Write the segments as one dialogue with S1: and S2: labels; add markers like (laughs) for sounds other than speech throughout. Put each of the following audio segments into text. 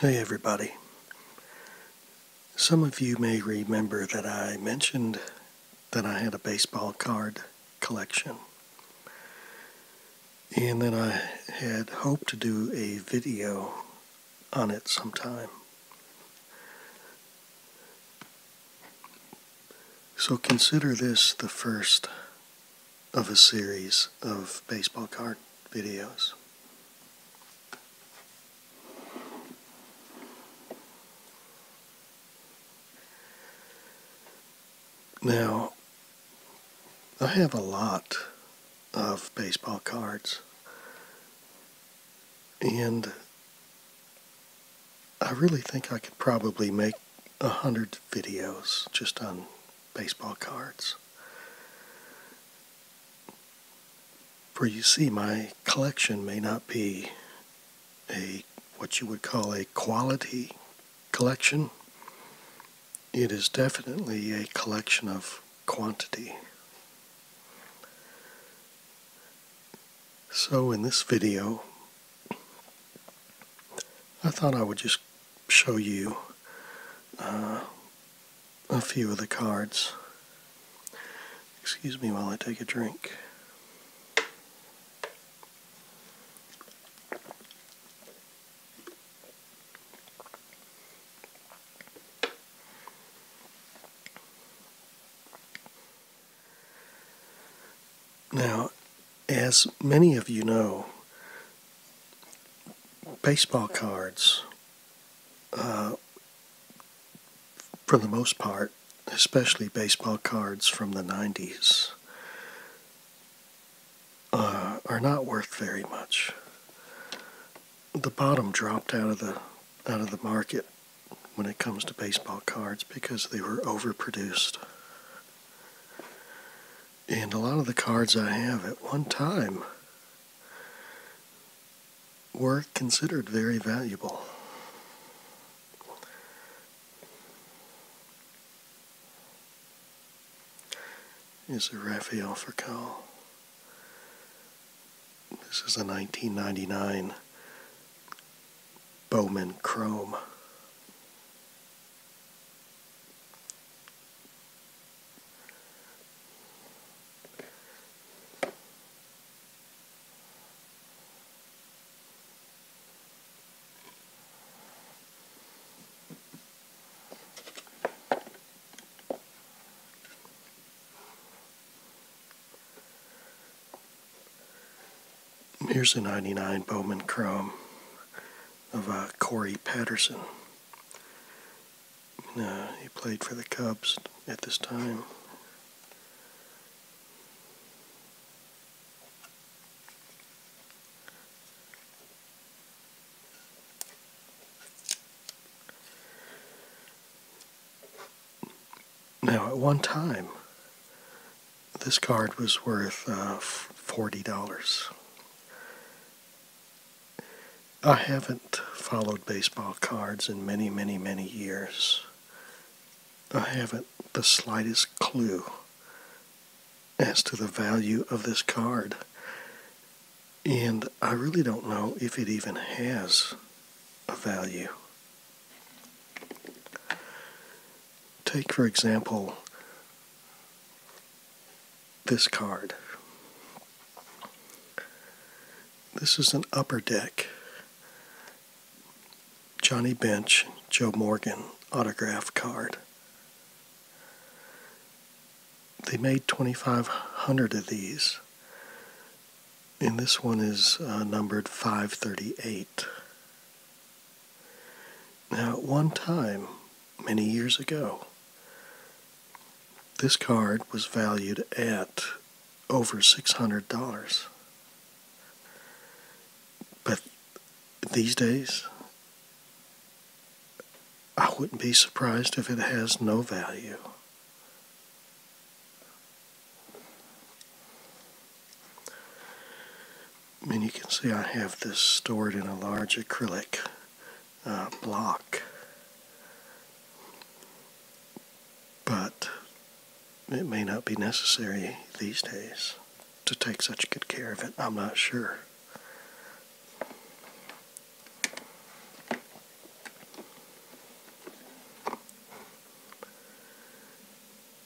S1: Hey, everybody. Some of you may remember that I mentioned that I had a baseball card collection and that I had hoped to do a video on it sometime. So consider this the first of a series of baseball card videos. Now, I have a lot of baseball cards. And I really think I could probably make a hundred videos just on baseball cards. For you see, my collection may not be a what you would call a quality collection. It is definitely a collection of quantity. So in this video, I thought I would just show you uh, a few of the cards. Excuse me while I take a drink. Now, as many of you know, baseball cards, uh, for the most part, especially baseball cards from the 90s, uh, are not worth very much the bottom dropped out of the out of the market when it comes to baseball cards because they were overproduced. And a lot of the cards I have at one time were considered very valuable. Is it Raphael Foucault. This is a 1999 Bowman Chrome. Here's a 99 Bowman Chrome of uh, Corey Patterson. Uh, he played for the Cubs at this time. Now, at one time, this card was worth uh, $40. I haven't followed baseball cards in many, many, many years. I haven't the slightest clue as to the value of this card. And I really don't know if it even has a value. Take, for example, this card. This is an upper deck. Johnny Bench, Joe Morgan autograph card they made 2,500 of these, and this one is uh, numbered 538. Now, at one time, many years ago, this card was valued at over $600. But these days, I wouldn't be surprised if it has no value. And you can see I have this stored in a large acrylic uh, block. But it may not be necessary these days to take such good care of it. I'm not sure.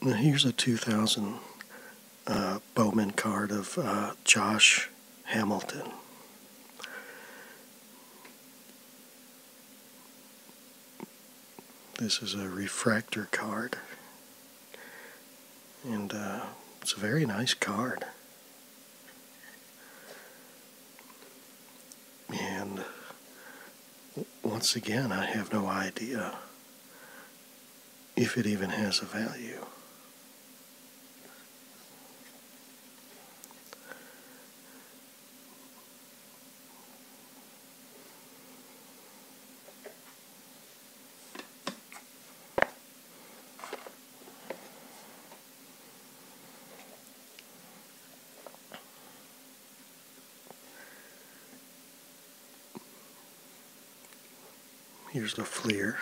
S1: Now here's a 2000 uh, Bowman card of uh, Josh Hamilton. This is a refractor card, and uh, it's a very nice card. And once again, I have no idea if it even has a value. Here's the Fleer.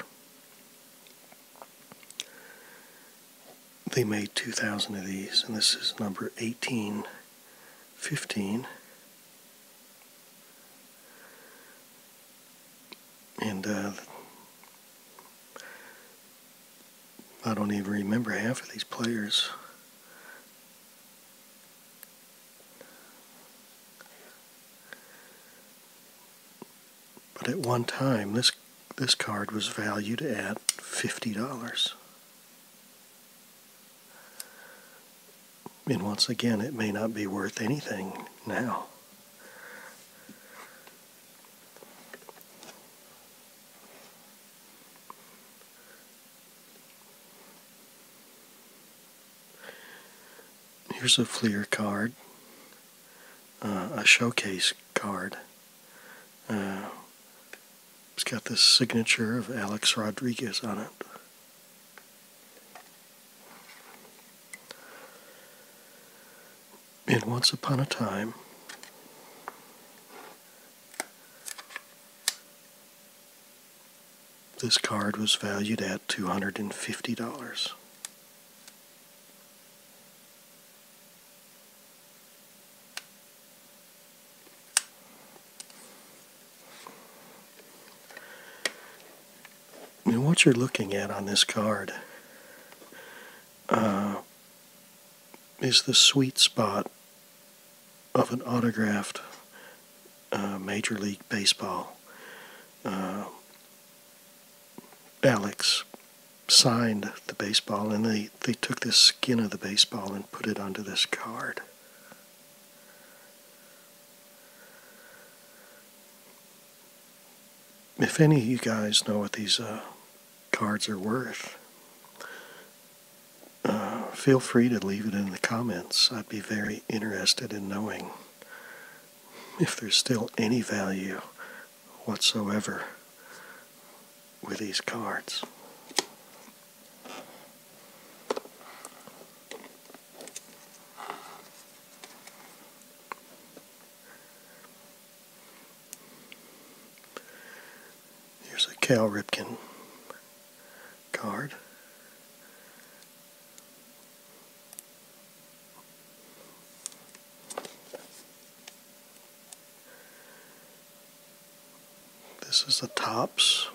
S1: They made 2,000 of these, and this is number 1815. And uh, I don't even remember half of these players. But at one time, this this card was valued at fifty dollars. And once again, it may not be worth anything now. Here's a Fleer card, uh, a showcase card. Uh, it's got the signature of Alex Rodriguez on it in Once Upon a Time. This card was valued at $250. And what you're looking at on this card uh, is the sweet spot of an autographed uh, Major League Baseball uh, Alex signed the baseball and they, they took the skin of the baseball and put it onto this card. If any of you guys know what these are. Uh, cards are worth. Uh, feel free to leave it in the comments. I'd be very interested in knowing if there's still any value whatsoever with these cards. Here's a Cal Ripken card. This is the tops.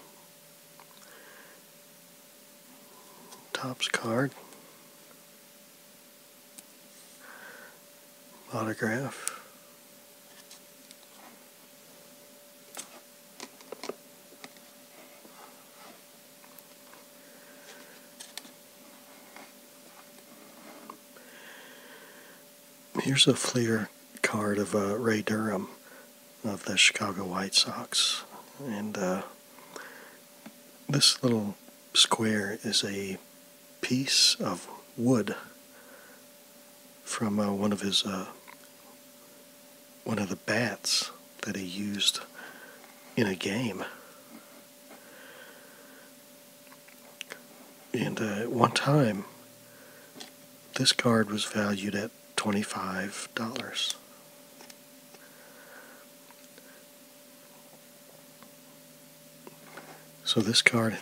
S1: Tops card autograph. Here's a Fleer card of uh, Ray Durham of the Chicago White Sox. And uh, this little square is a piece of wood from uh, one of his uh, one of the bats that he used in a game. And uh, at one time, this card was valued at $25. So this card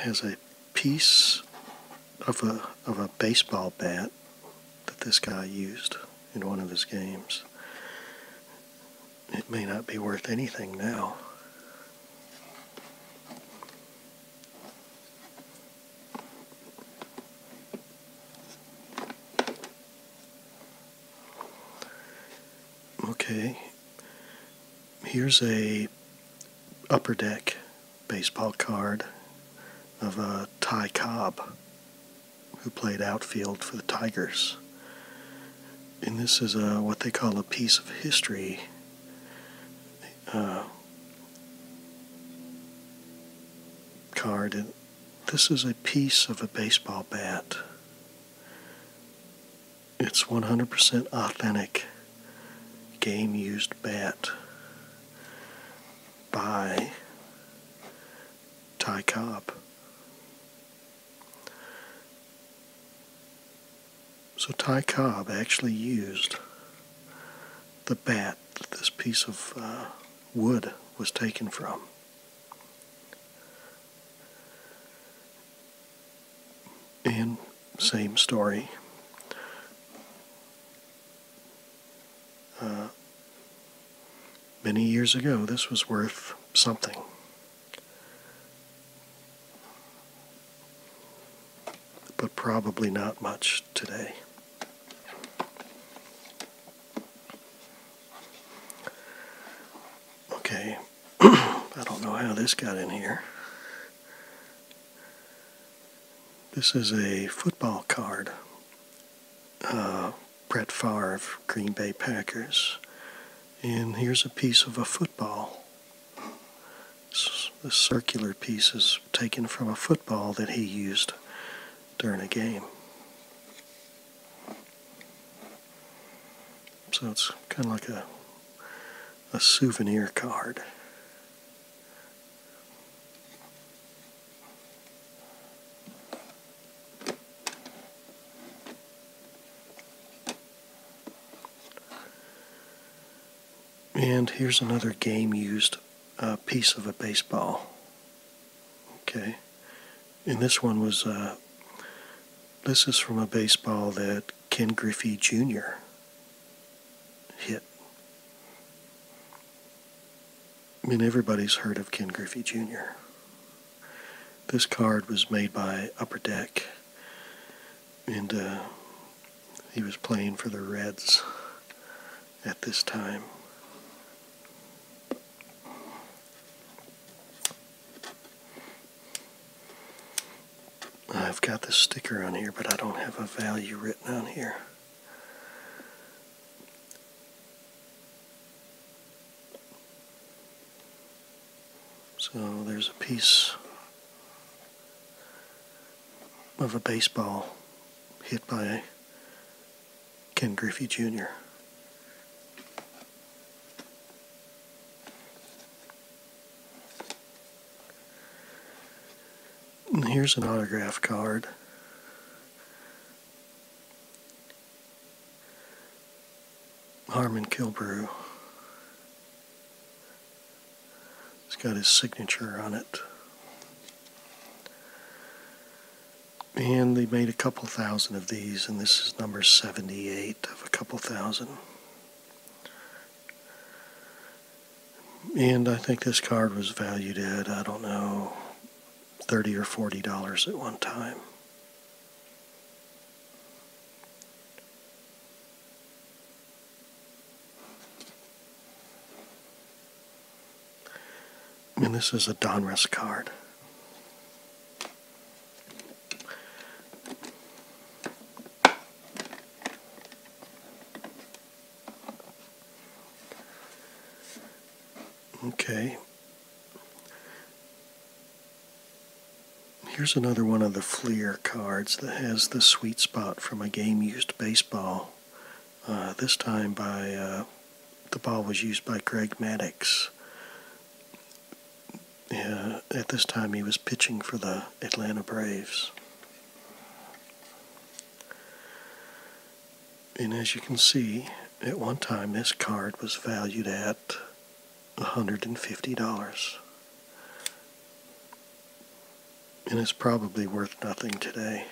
S1: has a piece of a of a baseball bat that this guy used in one of his games. It may not be worth anything now. Okay. Here's a upper deck baseball card of uh, Ty Cobb, who played outfield for the Tigers. And this is uh, what they call a piece of history. Uh, card. this is a piece of a baseball bat. It's 100% authentic game used bat by Ty Cobb. So Ty Cobb actually used the bat that this piece of uh, wood was taken from. And same story. Uh, many years ago, this was worth something. But probably not much today. Okay, (clears throat) I don't know how this got in here. This is a football card. Uh, Brett Favre, Green Bay Packers. And here's a piece of a football. This circular piece is taken from a football that he used during a game. So it's kind of like a, a souvenir card. And here's another game used uh, piece of a baseball. Okay, and this one was uh, this is from a baseball that Ken Griffey Jr. hit. I mean, everybody's heard of Ken Griffey Jr. This card was made by Upper Deck, and uh, he was playing for the Reds at this time. I've got this sticker on here, but I don't have a value written on here. So there's a piece of a baseball hit by Ken Griffey Jr here's an autograph card. Harmon Kilbrew. he has got his signature on it. And they made a couple thousand of these, and this is number 78 rate of a couple thousand. And I think this card was valued at, I don't know, 30 or 40 dollars at one time. And this is a Donruss card. Okay. Here's another one of the Fleer cards that has the sweet spot from a game used baseball. Uh, this time by uh, the ball was used by Greg Maddux yeah, at this time he was pitching for the Atlanta Braves. And as you can see, at one time this card was valued at $150. And it's probably worth nothing today.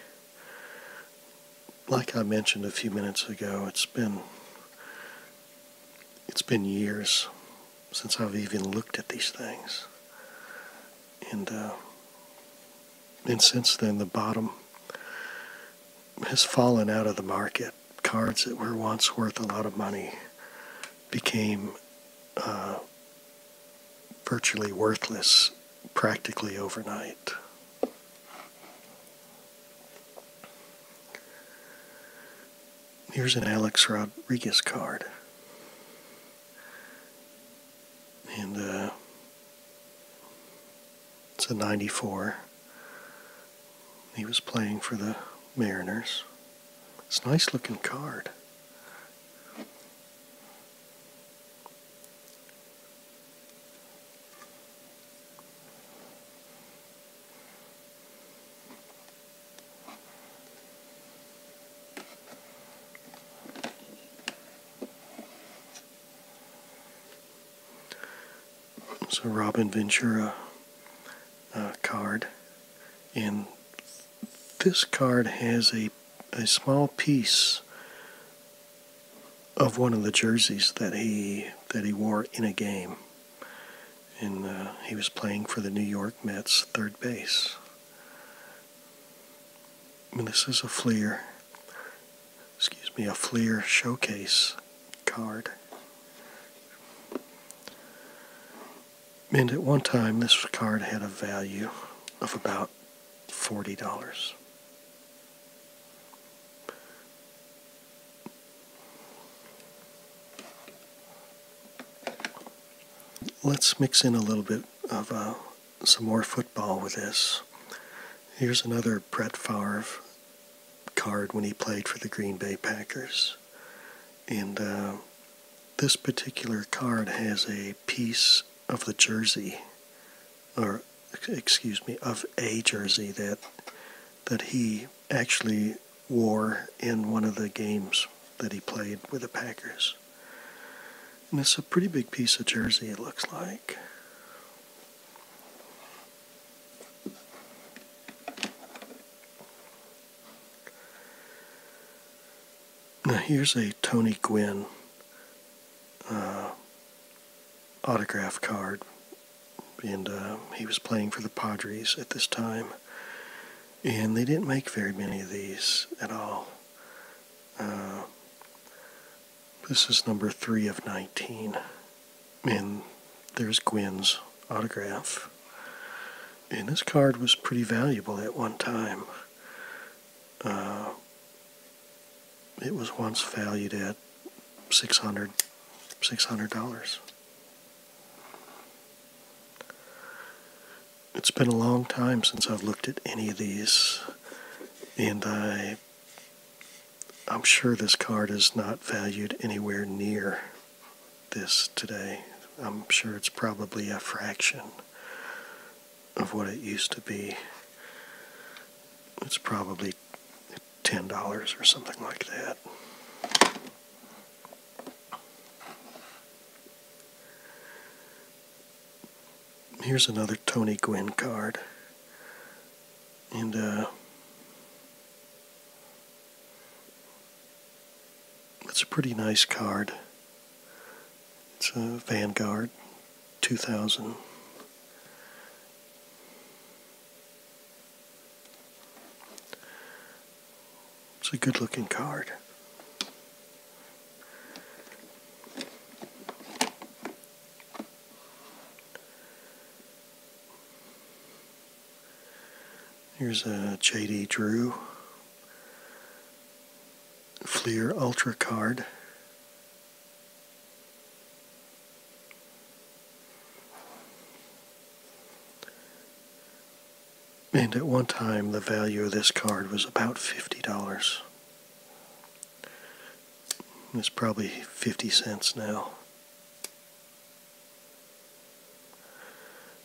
S1: Like I mentioned a few minutes ago, it's been it's been years since I've even looked at these things. And, uh, and since then, the bottom has fallen out of the market. Cards that were once worth a lot of money became uh, virtually worthless practically overnight. Here's an Alex Rodriguez card. And uh, it's a 94. He was playing for the Mariners. It's a nice looking card. It's a Robin Ventura uh, card, and this card has a a small piece of one of the jerseys that he that he wore in a game and uh, he was playing for the New York Mets third base. And this is a Fleer, excuse me, a Fleer showcase card. And at one time, this card had a value of about $40. Let's mix in a little bit of uh, some more football with this. Here's another Brett Favre card when he played for the Green Bay Packers. And uh, this particular card has a piece of the jersey, or excuse me, of a jersey that that he actually wore in one of the games that he played with the Packers. And it's a pretty big piece of jersey, it looks like. Now, here's a Tony Gwynn uh, autograph card and uh, he was playing for the Padres at this time. And they didn't make very many of these at all. Uh, this is number three of 19. And there's Gwynn's autograph. And this card was pretty valuable at one time. Uh, it was once valued at 600 $600. It's been a long time since I've looked at any of these, and I I'm sure this card is not valued anywhere near this today. I'm sure it's probably a fraction of what it used to be. It's probably ten dollars or something like that. Here's another Tony Gwynn card, and uh, it's a pretty nice card. It's a Vanguard 2000. It's a good looking card. Here's a JD Drew Fleer Ultra card. And at one time, the value of this card was about $50. It's probably 50 cents now.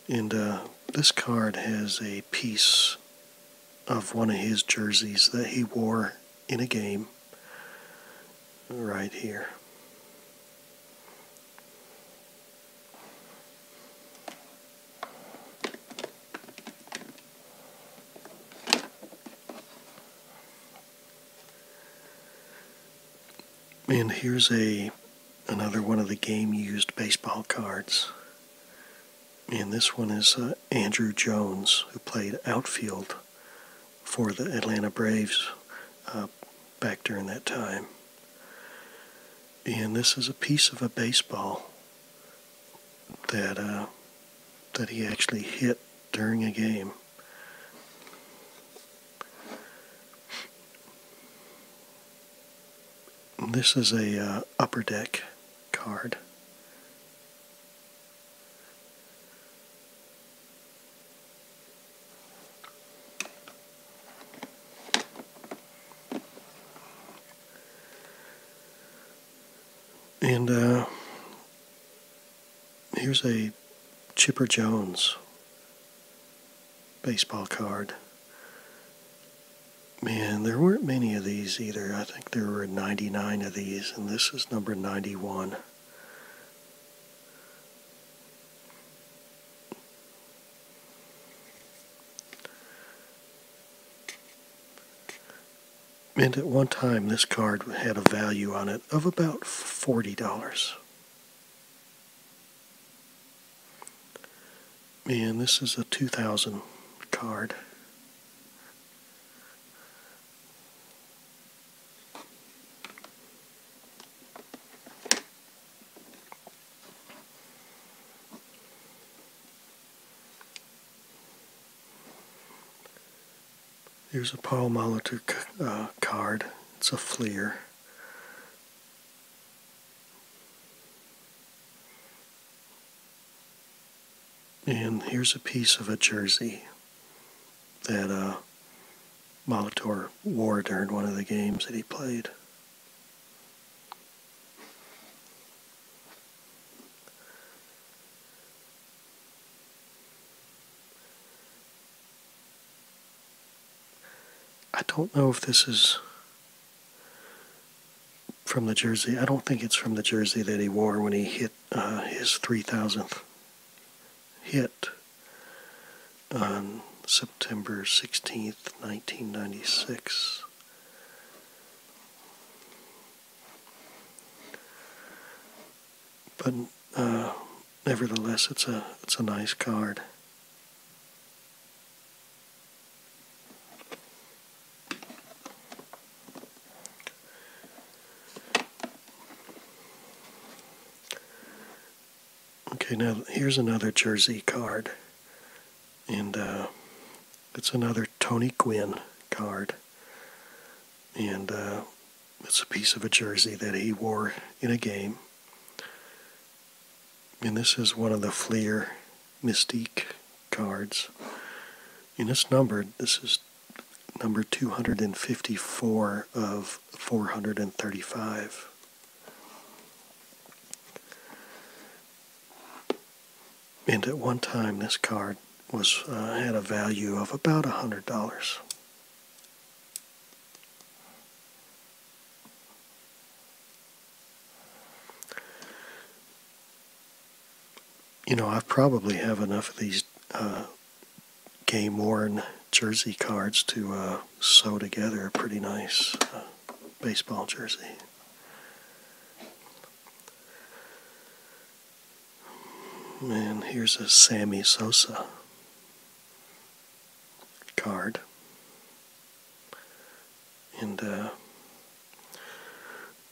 S1: And uh, this card has a piece of one of his jerseys that he wore in a game right here. And here's a another one of the game used baseball cards. And this one is uh, Andrew Jones, who played outfield for the Atlanta Braves uh, back during that time. And this is a piece of a baseball that uh, that he actually hit during a game. This is a uh, upper deck card. And uh, here's a Chipper Jones baseball card. Man, there weren't many of these either. I think there were 99 of these, and this is number 91. And at one time, this card had a value on it of about $40. Man, this is a 2000 card. Here's a Paul Molitor uh, card. It's a fleer. And here's a piece of a jersey that uh, Molitor wore during one of the games that he played. I don't know if this is from the jersey. I don't think it's from the jersey that he wore when he hit uh, his 3,000th hit on September 16th, 1996. But uh, nevertheless, it's a it's a nice card. Okay, now here's another jersey card. And uh, it's another Tony Gwynn card. And uh, it's a piece of a jersey that he wore in a game. And this is one of the Fleer Mystique cards. And it's numbered. This is number 254 of 435. And at one time, this card was uh, had a value of about a hundred dollars. You know, I probably have enough of these uh, game worn jersey cards to uh, sew together a pretty nice uh, baseball jersey. And here's a Sammy Sosa card. And uh,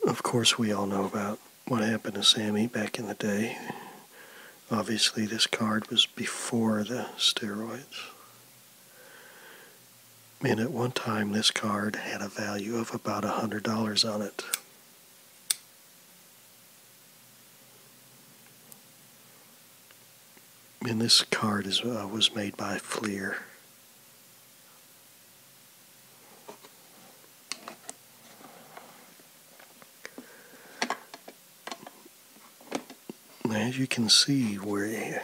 S1: of course, we all know about what happened to Sammy back in the day. Obviously, this card was before the steroids. And at one time, this card had a value of about $100 on it. And this card is, uh, was made by Fleer as you can see we're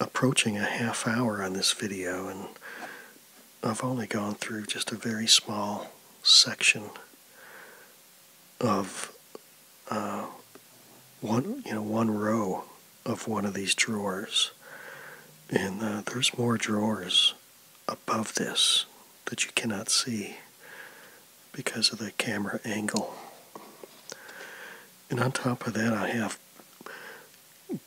S1: approaching a half hour on this video and I've only gone through just a very small section of uh, one you know one row of one of these drawers and uh, there's more drawers above this that you cannot see because of the camera angle. And on top of that, I have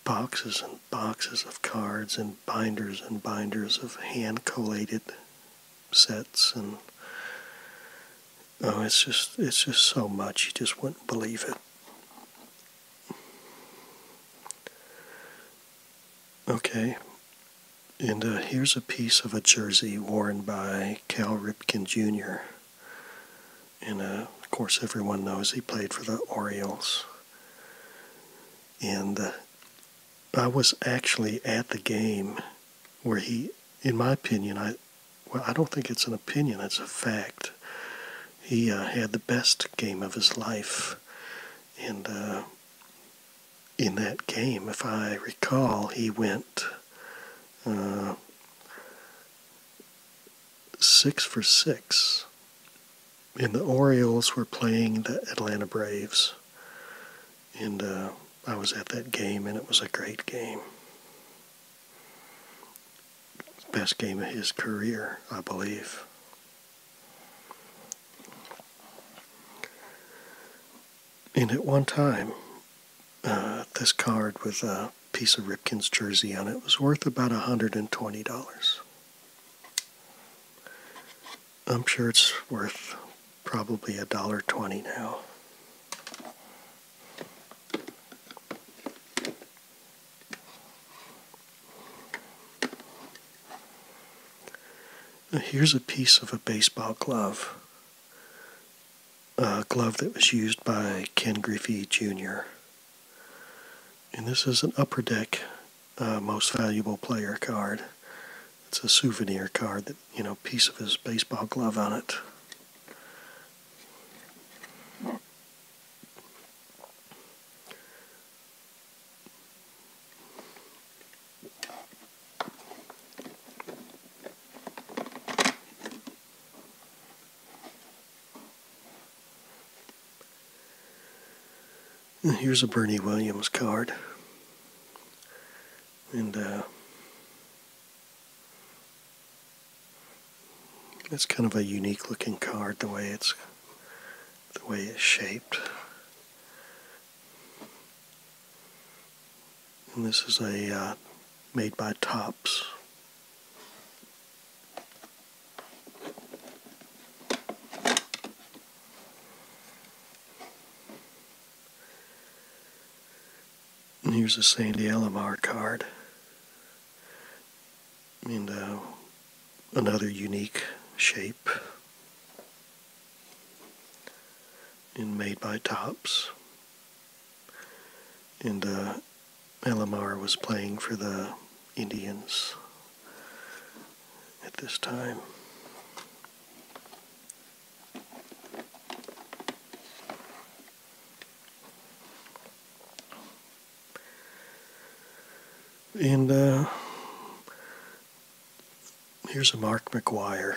S1: boxes and boxes of cards and binders and binders of hand collated sets and oh it's just it's just so much you just wouldn't believe it okay and uh, here's a piece of a jersey worn by Cal Ripken Jr. And uh, of course, everyone knows he played for the Orioles. And uh, I was actually at the game where he, in my opinion, I well, I don't think it's an opinion; it's a fact. He had the best game of his life, and in that game. If I recall, he went uh, six for six. And the Orioles were playing the Atlanta Braves. And uh, I was at that game, and it was a great game. Best game of his career, I believe. And at one time, uh, this card with a piece of Ripken's jersey on it was worth about $120. I'm sure it's worth probably a dollar twenty Now here's a piece of a baseball glove uh, glove that was used by Ken Griffey Jr. And this is an upper deck uh, most valuable player card. It's a souvenir card that, you know, piece of his baseball glove on it here's a Bernie Williams card. And uh, it's kind of a unique looking card the way it's the way it's shaped. And this is a uh, made by Tops. And here's a Sandy Alomar card. And uh, another unique shape and made by Tops. And uh, LMR was playing for the Indians at this time. And uh, Here's a Mark McGuire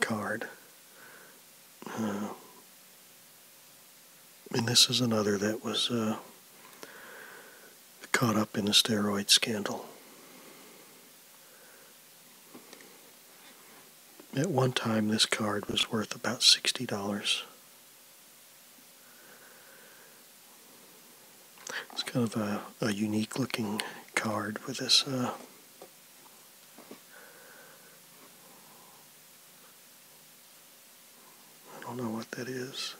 S1: card. Uh, and this is another that was uh, caught up in the steroid scandal. At one time, this card was worth about $60. It's kind of a, unique looking card with this uh, I don't know what that is.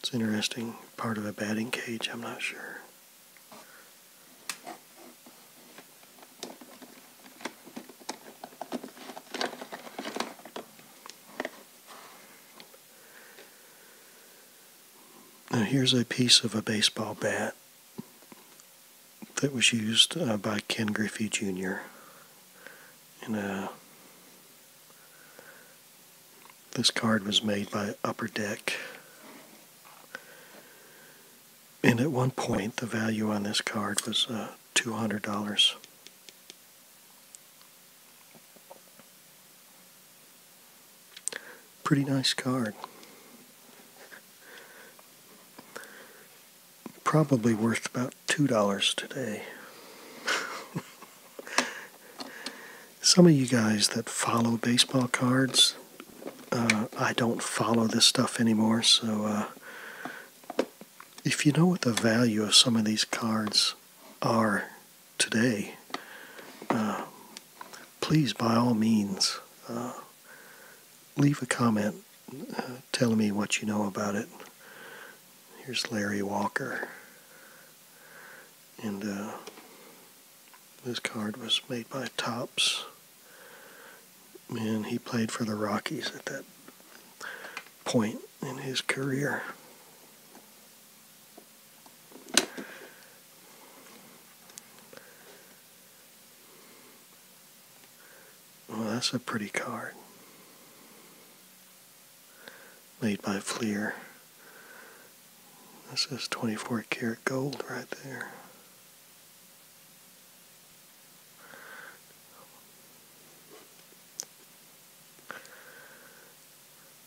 S1: It's interesting part of a batting cage, I'm not sure. Now, here's a piece of a baseball bat that was used uh, by Ken Griffey Jr. And uh, this card was made by Upper Deck. And at one point, the value on this card was uh, $200. Pretty nice card. Probably worth about $2 today. (laughs) Some of you guys that follow baseball cards, uh, I don't follow this stuff anymore, so uh, if you know what the value of some of these cards are today, uh, please, by all means, uh, leave a comment uh, telling me what you know about it. Here's Larry Walker. And this card was made by Tops. And he played for the Rockies at that point in his career. Well, that's a pretty card. Made by Fleer. This is 24 karat gold right there.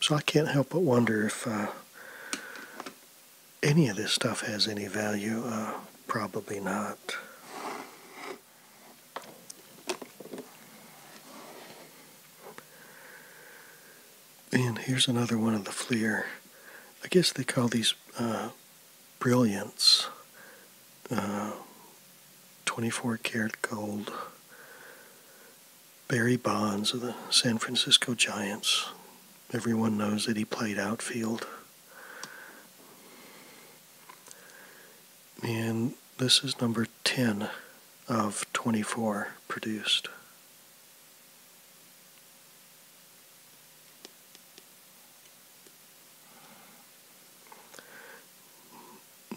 S1: So I can't help but wonder if uh, any of this stuff has any value. Uh, probably not. And here's another one of the Fleur. I guess they call these uh, brilliants. Uh, 24 karat gold Barry Bonds of the San Francisco Giants. Everyone knows that he played outfield. And this is number 10 of 24 produced.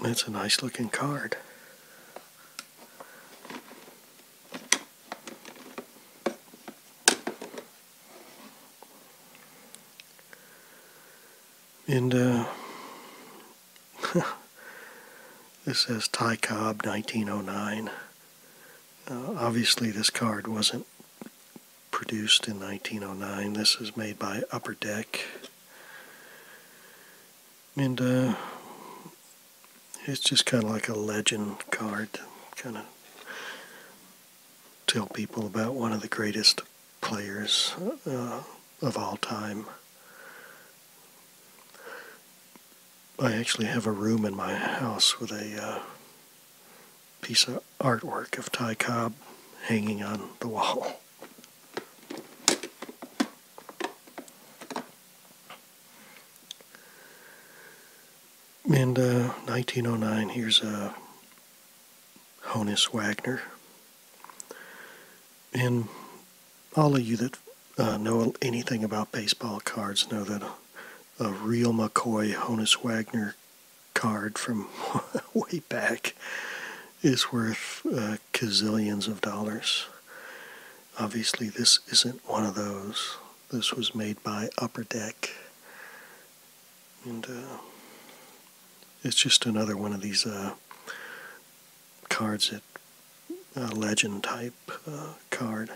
S1: That's a nice looking card. And uh, (laughs) this says Ty Cobb 1909. Uh, obviously, this card wasn't produced in 1909. This is made by Upper Deck. And uh, it's just kind of like a legend card, to kind of tell people about one of the greatest players uh, of all time. I actually have a room in my house with a uh, piece of artwork of Ty Cobb hanging on the wall. And 1909, uh, here's a uh, Honus Wagner. And all of you that uh, know anything about baseball cards know that a, real McCoy Honus Wagner card from (laughs) way back is worth gazillions of dollars. Obviously, this isn't one of those. This was made by Upper Deck. And uh, it's just another one of these uh, cards that uh, legend type card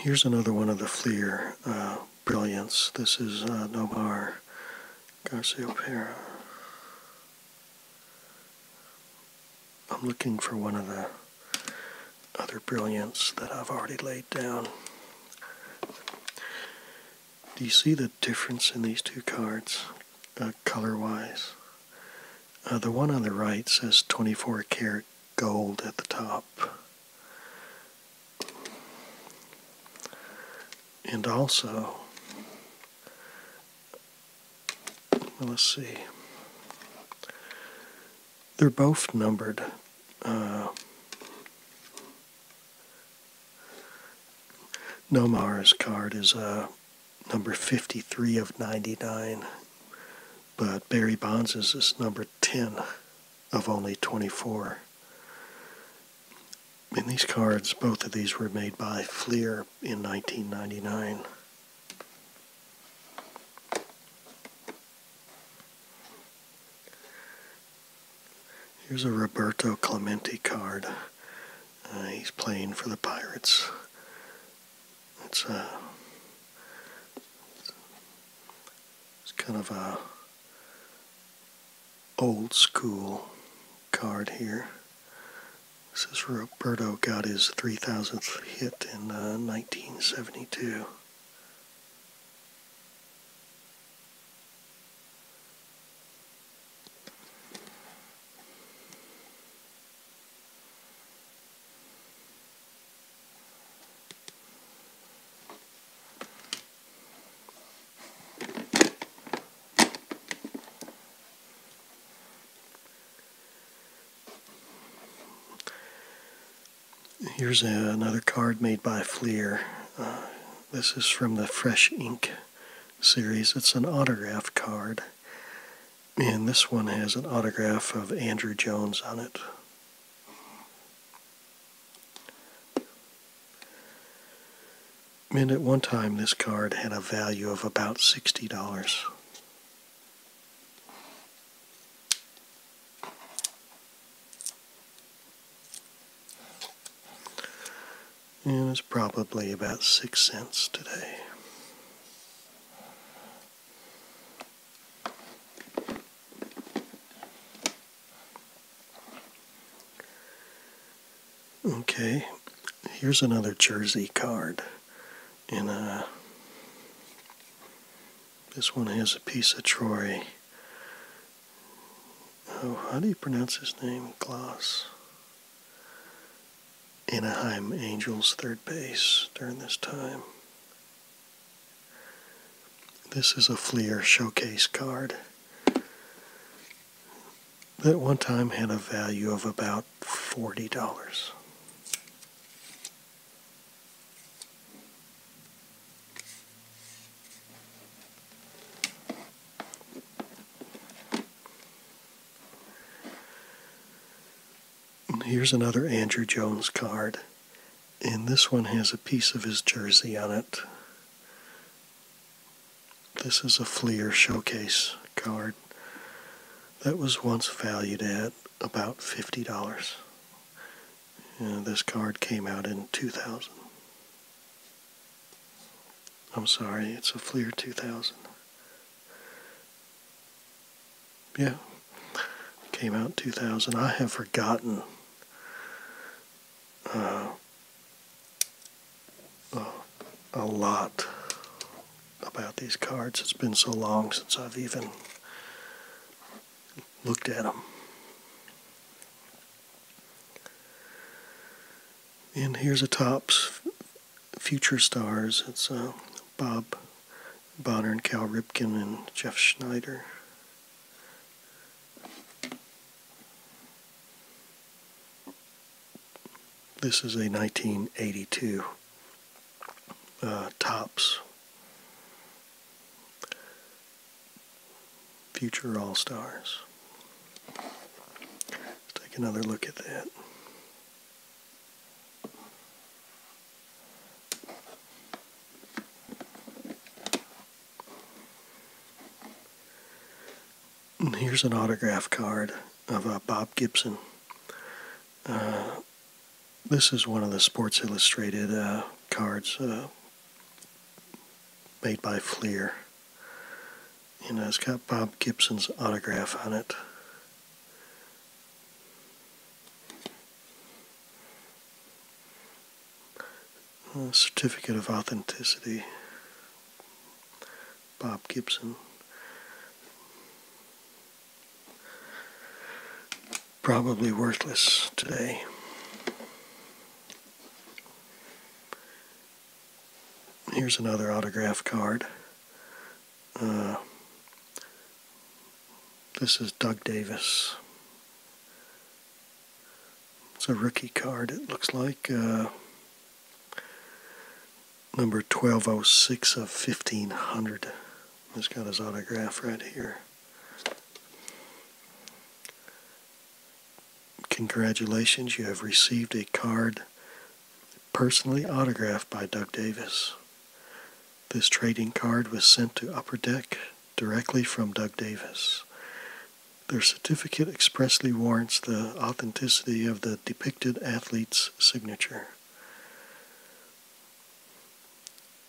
S1: here's another one of the Fleer uh, brilliance. This is uh, Garcia. Garciopera. I'm looking for one of the other brilliance that I've already laid down. Do you see the difference in these two cards, uh, color-wise? Uh, the one on the right says 24 karat gold at the top. And also, let's see, they're both numbered. Uh, Nomar's card is uh, number 53 of 99, but Barry Bonds' is number 10 of only 24. In these cards, both of these were made by Fleer in 1999. Here's a Roberto Clemente card. Uh, he's playing for the Pirates. It's a uh, it's kind of a old school card here. This is Roberto got his 3,000th hit in 1972. Uh, Here's another card made by Fleer. Uh, this is from the Fresh Ink series. It's an autograph card. And this one has an autograph of Andrew Jones on it. And at one time, this card had a value of about $60. And it's probably about six cents today. Okay, here's another jersey card. And uh, this one has a piece of Troy. Oh, how do you pronounce his name? Gloss. Anaheim Angels third base during this time. This is a Fleer showcase card that one time had a value of about $40. Here's another Andrew Jones card. And this one has a piece of his jersey on it. This is a Fleer Showcase card that was once valued at about $50. this card came out in 2000. I'm sorry, it's a Fleer 2000. Yeah. Came out 2000. I have forgotten. Uh, a lot about these cards. It's been so long since I've even looked at them. And here's a Topps Future Stars. It's uh, Bob Bonner and Cal Ripken and Jeff Schneider. This is a 1982 uh, Tops Future All Stars. Let's take another look at that. And here's an autograph card of uh, Bob Gibson. Uh, this is one of the Sports Illustrated uh, cards uh, made by Fleer. And it's got Bob Gibson's autograph on it. A uh, certificate of authenticity, Bob Gibson. Probably worthless today. Here's another autograph card. Uh, this is Doug Davis. It's a rookie card, it looks like. Uh, number 1206 of 1500. He's got his autograph right here. Congratulations, you have received a card personally autographed by Doug Davis. This trading card was sent to Upper Deck directly from Doug Davis. Their certificate expressly warrants the authenticity of the depicted athlete's signature.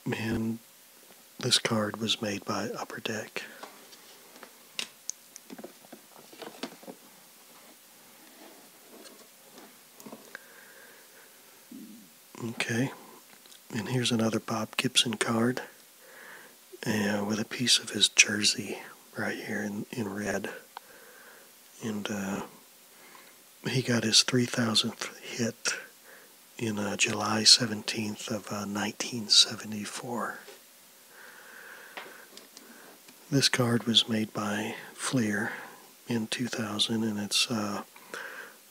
S1: And this card was made by Upper Deck. Okay, and here's another Bob Gibson card uh, with a piece of his jersey right here in, in red. And uh, he got his 3,000th hit in uh, July 17th of 1974. Uh, this card was made by Fleer in 2000 and it's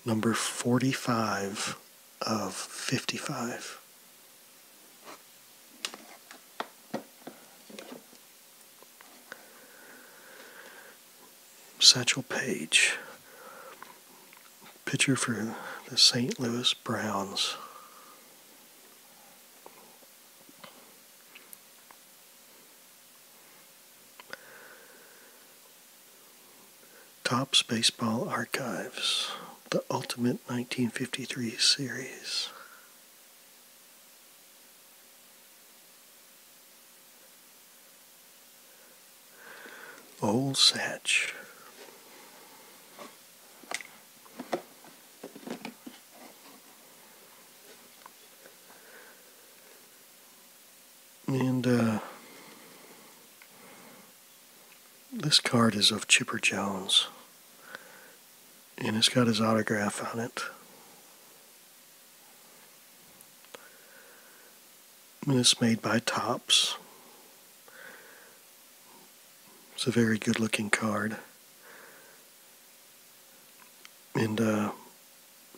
S1: number 45 of 55. Satchel Paige, pitcher for the St. Louis Browns. Topps Baseball Archives, the ultimate 1953 series. Old Satch. And uh, this card is of Chipper Jones. And it's got his autograph on it. And it's made by Tops. It's a very good looking card. And uh,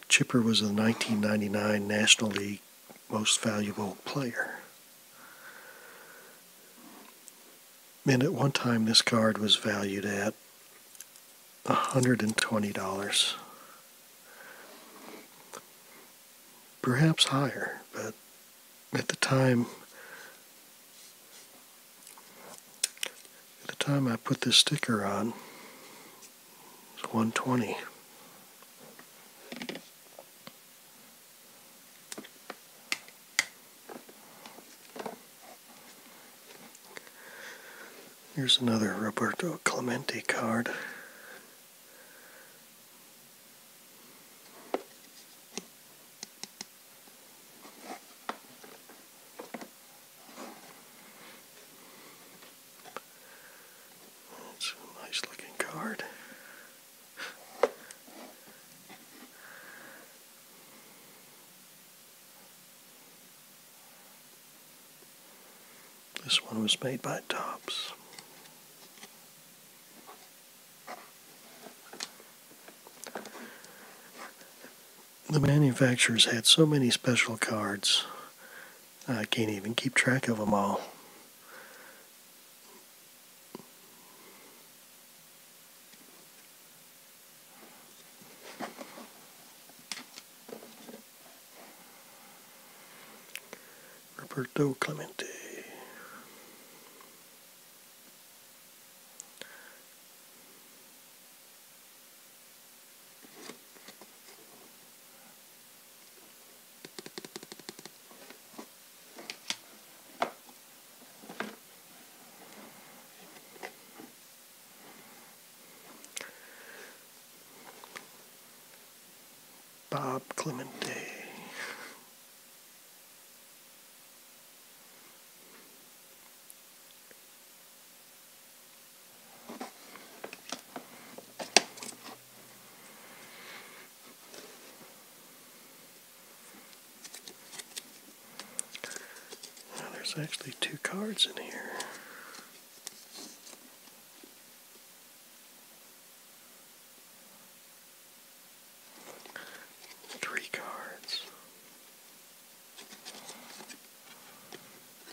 S1: Chipper was the 1999 National League Most Valuable Player. And at one time, this card was valued at $120. Perhaps higher, but at the time, at the time I put this sticker on, it's 120. Here's another Roberto Clemente card. It's a nice looking card. This one was made by Tops. The manufacturers had so many special cards I can't even keep track of them all. Roberto Clemente. Bob Clemente there's actually two cards in here. Three cards.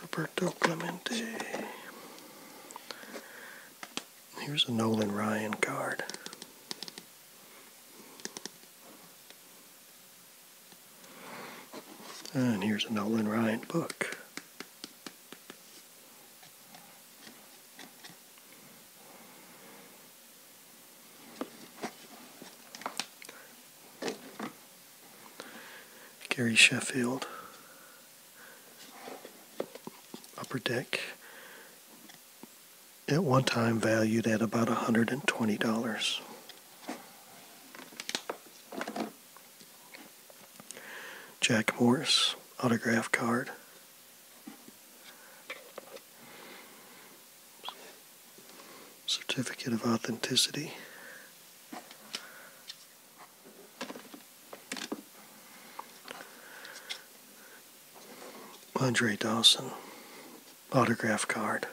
S1: Roberto Clemente. Here's a Nolan Ryan card. And here's a Nolan Ryan book. Gary Sheffield, Upper Deck, at one time valued at about $120. Jack Morris autograph card certificate of authenticity. Andre Dawson autograph card.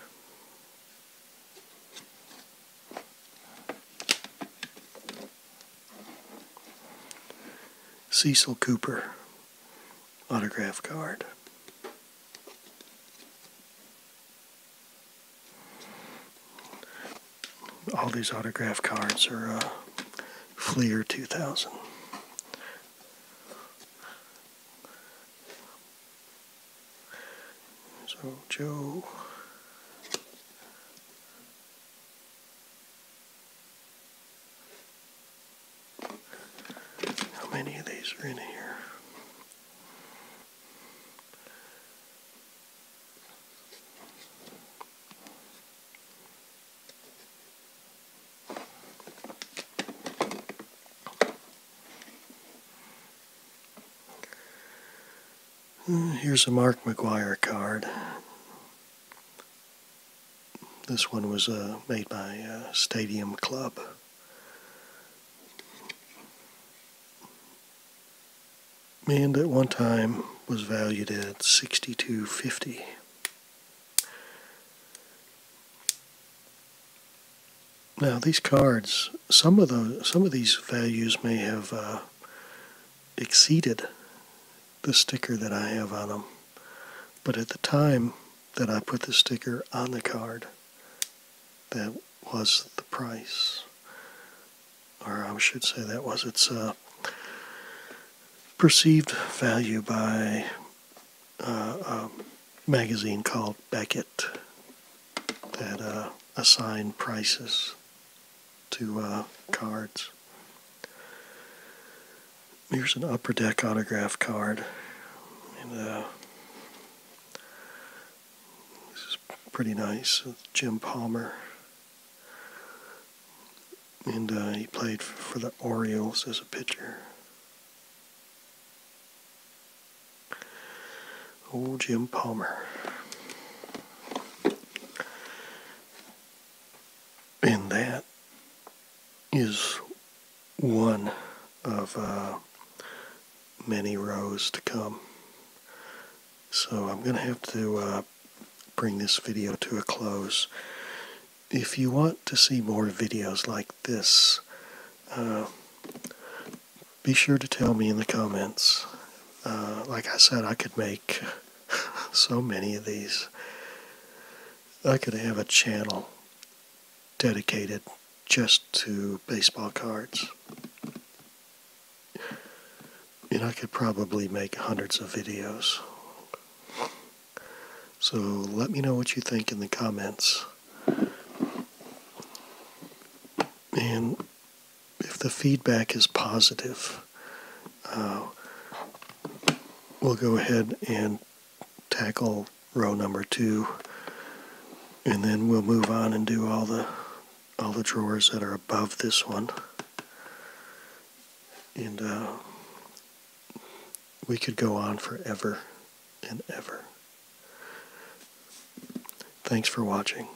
S1: Cecil Cooper autograph card all these autograph cards are uh, Fleer 2000. So Joe. How many of these are in here? Uh, here's a Mark McGuire card. This one was uh, made by uh, Stadium Club and at one time was valued at 6250 Now these cards, some of those, some of these values may have uh, exceeded the sticker that I have on them, but at the time that I put the sticker on the card, that was the price, or I should say that was its uh, perceived value by uh, a magazine called Beckett that uh, assigned prices to uh, cards. Here's an upper deck autograph card. This is pretty nice. Jim Palmer. And uh, he played for the Orioles as a pitcher. Old Jim Palmer. And that is one of uh, many rows to come. So I'm going to have to uh, bring this video to a close. If you want to see more videos like this, uh, be sure to tell me in the comments. Uh, like I said, I could make (laughs) so many of these. I could have a channel dedicated just to baseball cards. And I could probably make hundreds of videos. So let me know what you think in the comments. And if the feedback is positive, uh, we'll go ahead and tackle row number two and then we'll move on and do all the all the drawers that are above this one and uh, we could go on forever and ever thanks for watching